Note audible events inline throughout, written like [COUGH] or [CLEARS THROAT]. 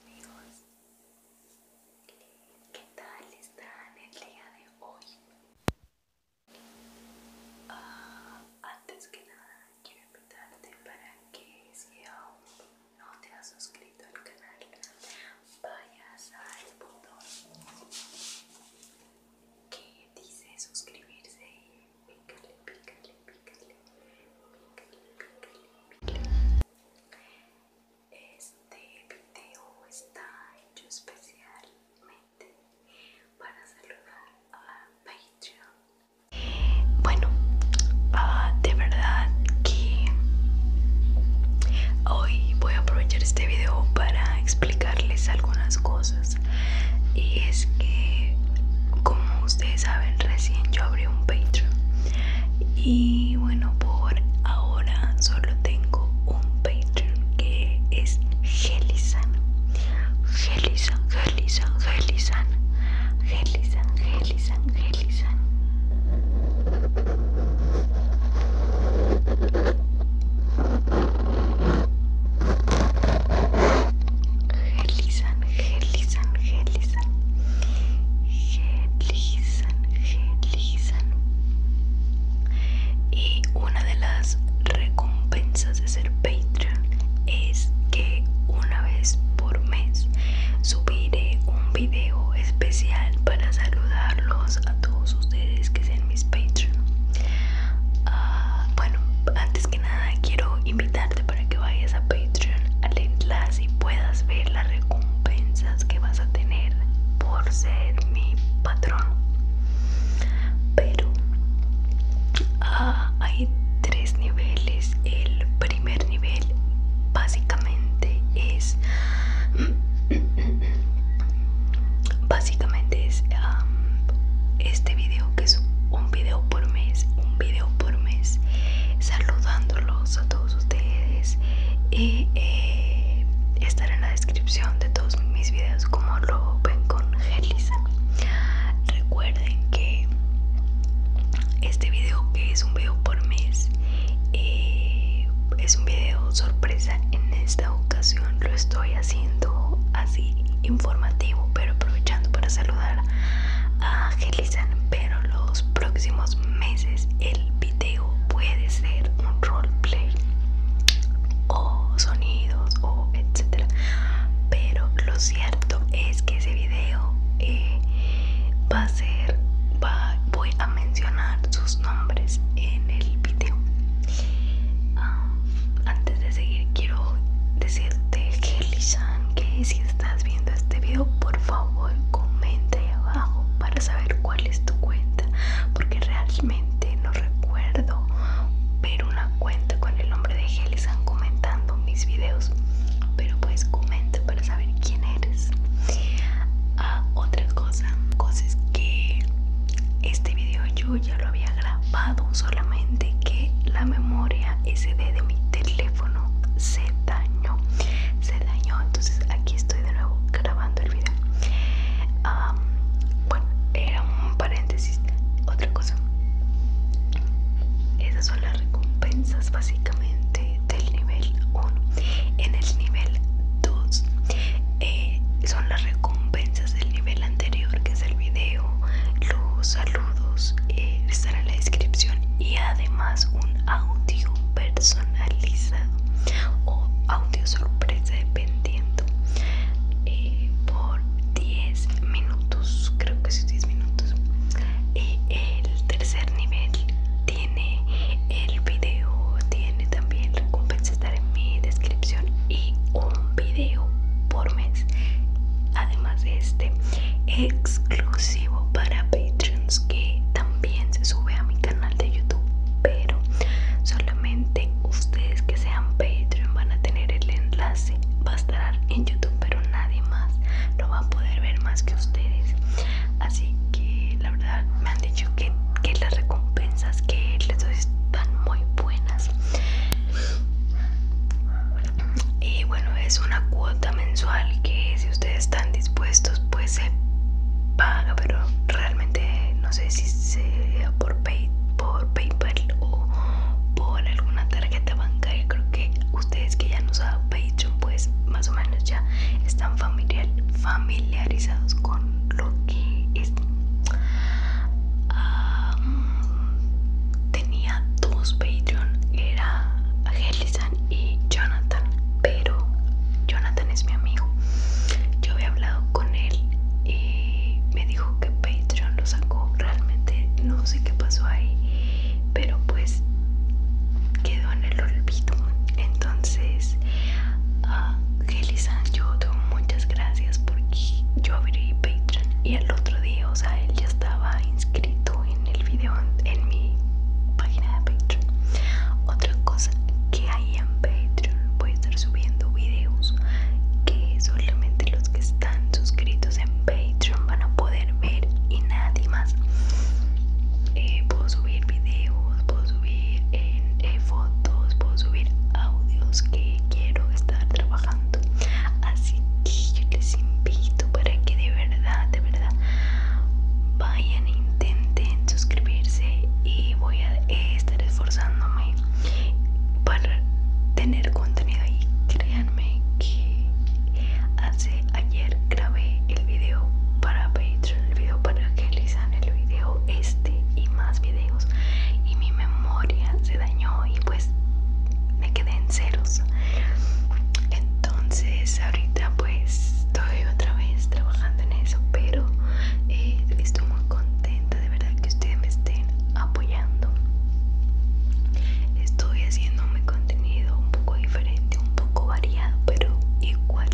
Amigos, ¿qué tal están el día de hoy? Ah, antes que nada, quiero invitarte para que si aún no te has suscrito al canal, vayas al botón que dice suscribirse y pícale, pícale, pícale, Este video está hecho especialmente para saludar a Patreon. Bueno, ah, de verdad que hoy voy a aprovechar este video para explicarles algunas cosas y es que como ustedes saben, recién yo abrí un Patreon. Y bueno, por ahora solo tengo un Patreon que es Gelisan. Gelisan, Gelisan, Gelisan. Gelisan, Gelisan, Gelisan. Gelisan gelizan, gelizan, gelizan, gelizan. Y una de las recompensas de ser Patreon es que una vez por mes subiré un video especial para saludarlos a todos ustedes que sean mis Patreon. Ah, bueno, antes nada quiero invitarte para que vayas a Patreon al enlace y puedas ver las recompensas que vas a tener por ser mi patrón. Pero ah, hay tres niveles. El primer nivel básicamente es [CLEARS THROAT] básicamente es este video que es un video por mes un video por mes saludándolos a todos ustedes y eh, estar en la descripción de todos mis videos como lo ven con Gelisa recuerden que este video que es un video por mes eh, es un video sorpresa en esta ocasión lo estoy siendo así informativo, pero aprovechando para saludar a Gelizan. Pero los próximos meses el video puede ser un roleplay o sonidos o etcétera. Pero lo cierto es que ese video eh, va a ser, va, voy a mencionar sus nombres en el video. Ah, antes de seguir quiero decirte Helishan que si estás viendo este video, por favor comenta ahí abajo para saber cuál es tu cuenta, porque realmente no recuerdo ver una cuenta con el nombre de Helishan comentando mis videos, pero pues comenta para saber quién eres. Ah, otra cosa, cosas que este video yo ya lo había grabado, solamente que la memoria SD de mi teléfono se dañó. Se dañó, entonces aquí estoy de nuevo grabando el video. bueno, era un paréntesis. Otra cosa. Esas son las recompensas básicamente del nivel 1. En el nivel 2 eh, son las recompensas del nivel anterior que es el video los saludos eh, están en la descripción y además un audio personalizado o audio sorpresa dependiendo eh, por 10 minutos creo que son 10 minutos el tercer nivel tiene el video tiene también recompensas estar en mi descripción y un video por mes además de este exclusivo para patreons que también se sube a mi canal de youtube pero solamente ustedes que sean patreon van a tener el enlace va a estar en youtube pero nadie más lo va a poder ver más que ustedes así que la verdad me han dicho que, las recompensas que les doy están muy buenas y bueno es una cuota mensual que si ustedes están dispuestos pues se paga pero realmente no sé si sea por, por paypal o por alguna tarjeta bancaria creo que ustedes que ya han usado Patreon pues más o menos ya están familiarizados con lo que tenía dos Patreon era Hellison y Jonathan pero Jonathan es mi amigo yo había hablado con él y me dijo que Patreon lo sacó realmente no sé qué pasó ahí pero pues quedó en el olvido entonces Ah, a yo tengo muchas gracias porque yo abrí Patreon y el otro día, o sea, él ya estaba inscrito en el video en mi página de Patreon. Otra cosa que hay en Patreon, voy a estar subiendo videos que solamente los que están suscritos en Patreon van a poder ver y nadie más. Eh, puedo subir videos, puedo subir en, eh, fotos, puedo subir audios que quiero estar trabajando. Así que yo les invito para que de verdad, de verdad, vayan e intenten suscribirse y voy a eh, estar esforzándome para tener contenido y Créanme que hace ayer grabé el video para Patreon, el video para que elijan el video este y más videos y mi memoria se dañó y pues me quedé en ceros. Entonces ahorita pues estoy otra vez trabajando en eso, pero eh, estoy muy contenta de verdad que ustedes me estén apoyando. Estoy haciendo mi contenido un poco diferente un poco variado, pero igual.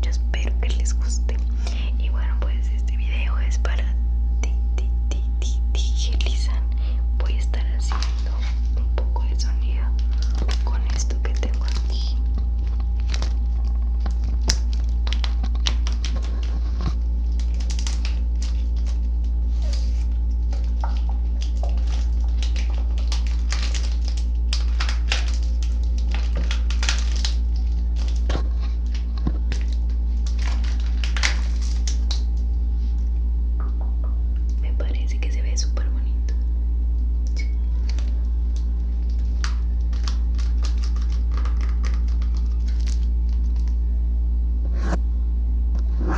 Yo espero que les guste. Y bueno, pues este video es para ti, ti, ti, ti, ti, Voy a estar haciendo un poco de sonido con esto que tengo aquí. Me parece que se ve súper bonito.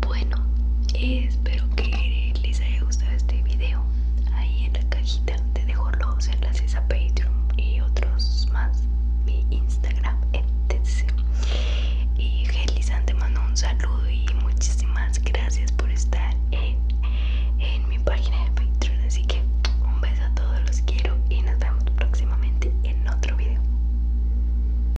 Bueno, espero que les haya gustado este video. Ahí en la cajita te dejo los enlaces a Patreon y otros más. Mi Instagram, etc. Y Gelizan te mando un saludo y muchísimas gracias por estar en, en mi página de Patreon. Así que un beso a todos, los quiero y nos vemos próximamente en otro video.